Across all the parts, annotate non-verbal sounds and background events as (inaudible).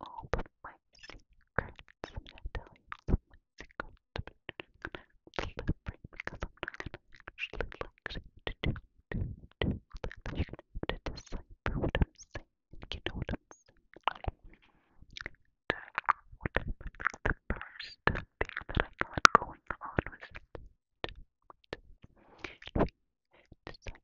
all of my secrets. I'm gonna tell you all my secrets. I'm gonna celebrate because I'm not gonna actually like to do, do, do. Like you're gonna have to decipher what I'm saying. You know what I'm saying. Okay. The first thing that I got going on was. Decipher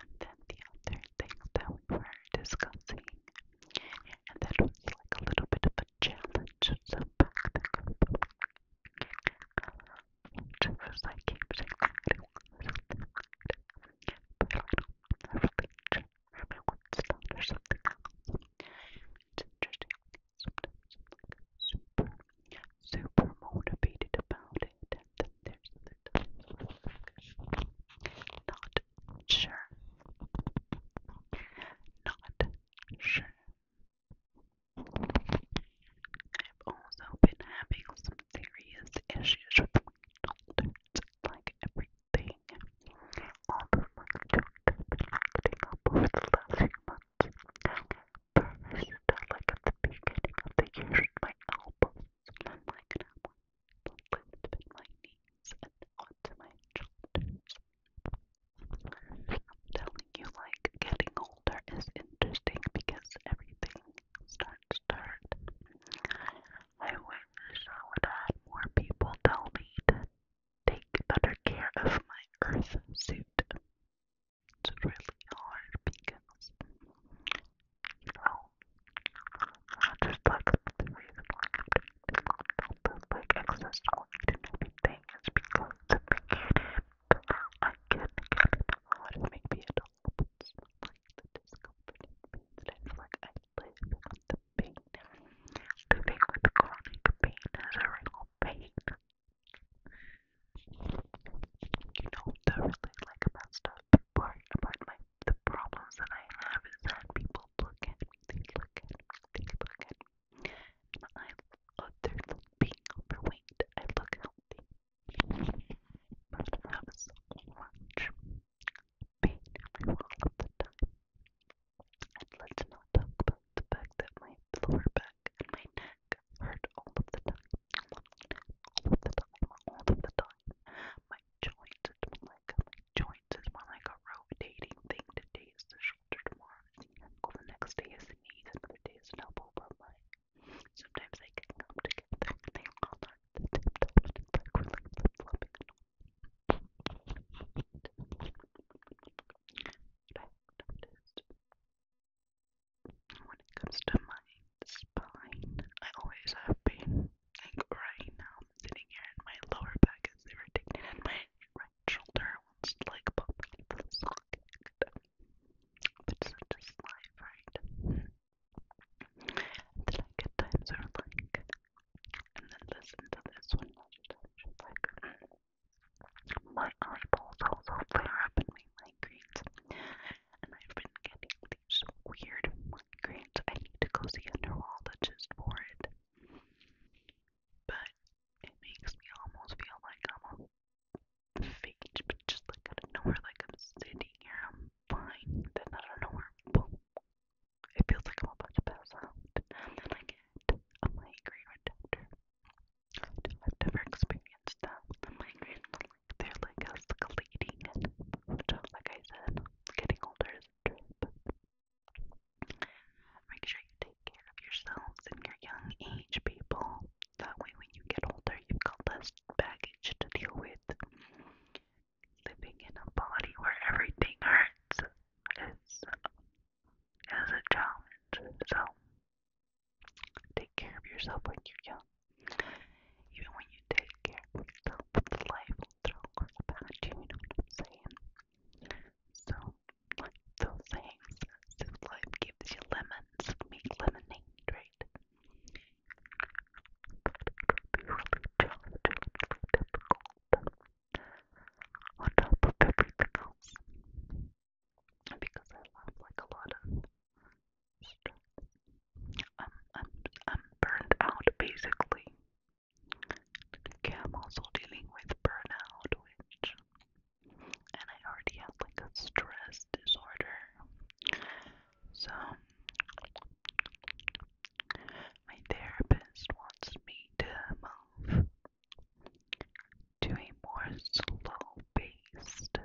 and then the other things that we were discussing. And that was like a little bit of a challenge. So back the group. Which was I keep saying I really want something hard. But I don't want a religion or my one style or something else. It's interesting. Sometimes I'm like super, super motivated about it bit and then there's other times where not sure. Not sure. I've also been having some serious issues with my shoulders, like everything. All of my shoulders acting up over the last few months. First, like at the beginning of the year, my elbows I could have one my knees onto my shoulders. I'm telling you, like, getting older is interesting because everything starts to hurt. I wish I would have more people tell me to take better care of my earth suit. It's really hard because, just like the reason why I like access to and everything is because to begin it, I can get it hard and maybe it all puts like the discomfort and pain like I live with the pain. Living with chronic pain is a real pain. You know, they're really like messed up the part about my the problems that I have is that people look at me, they look at me, they look at me. And I other than being overweight, I look healthy. But I have so much pain every all of the time. And let's not talk about the fact that my lower back and my neck hurt all of the time all the time, all of the time. My joints, it's more like my joints is more like a rotating thing. Today is the shoulder, tomorrow is the ankle, the next day is the knees, another day is an elbow. But my sometimes they can come together. They all are the tip toes, it's like we're like flip flopping and all. But I have noticed when it comes to my spine. I always have pain. Like right now, I'm sitting here and my lower back is irritated and my right shoulder wants to like pop me for the socket. But such is life, right? And then I get times are like, and then listen to this one more time. Like, my eyeballs also flare up in my migraines and I've been getting these weird migraines. I need to go see a neurologist for it. But it makes me almost feel like I'm a fake, but just like out of nowhere, like I'm sitting here, I'm fine, then out of nowhere, boom. It feels like I'm about to pass out, and I get a migraine after. I've never experienced that. The migraine, they're like us leading and like I said, getting older is a trip. Make sure you take care of yourselves and your young age people. That way when you get older you've got less baggage to deal with. Living in a body where everything hurts is, is a challenge. So Take care of yourself when you're young. Even when you take care of yourself, life will throw curls about you, you know what I'm saying? So, like those things, if life gives you lemons, make lemonade, right? Be really challenging, difficult. On top of everything else, because I laugh like a lot of stress. I'm, I'm, I'm burned out basically. Okay, I'm also dealing with burnout, which, and I already have like a stress disorder. So, my therapist wants me to move to a more slow paced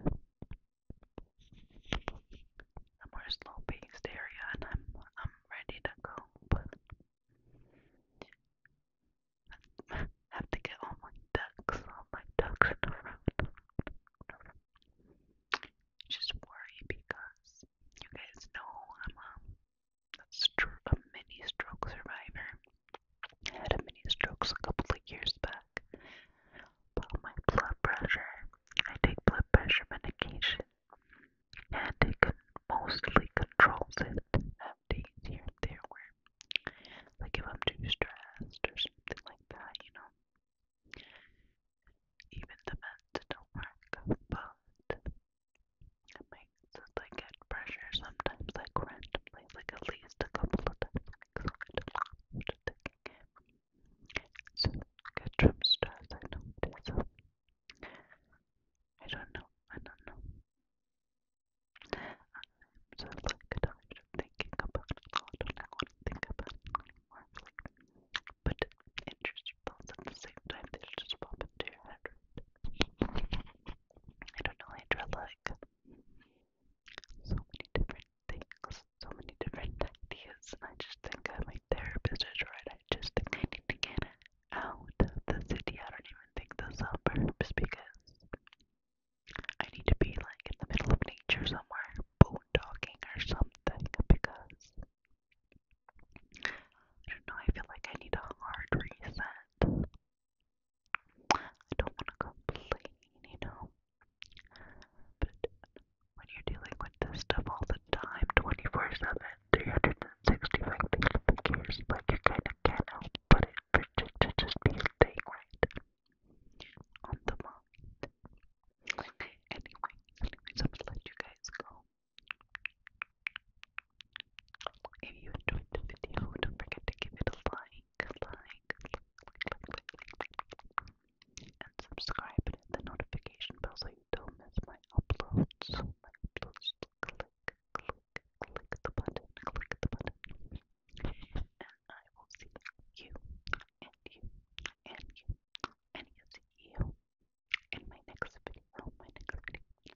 a more slow-paced area, and I'm I'm ready to go, but I (laughs) have to get all my ducks, all my ducks in a row. Just worry because you guys know I'm um, a, a, stro a mini stroke survivor. I had a mini stroke a couple of years back back. my blood pressure, I take blood pressure medication, and it can mostly controls it. I here and there where, like if I'm too stressed or something like that, you know. Even the meds don't work, but it makes pressure sometimes, like random like at least a couple of times. i get from stress, I know. Um, I don't know. I don't know. I'm so like tired of thinking about it. I don't want to think about it anymore. But it just at the same time. They just pop into your head. I don't know. I like so many different things, so many different ideas, and I just think I'm a therapist is right. I just think I need to get out of the city. I don't even think the suburbs because I need to be like in the middle of nature somewhere, boondocking or something because I don't know, I feel like I need a hard reset. I don't want to complain, you know. But when you're dealing with this stuff all the time, 24 7, 365 days of the like you kind of can't help but it just, to just be staying right on the mind. anyway, anyways, I'm gonna let you guys go. If you enjoyed the video, don't forget to give it a like like, and subscribe and hit the notification bell so you don't miss my uploads. My uploads click, click, click the button, click the button. And I will see you and you and you and you see you in my next video. My next video.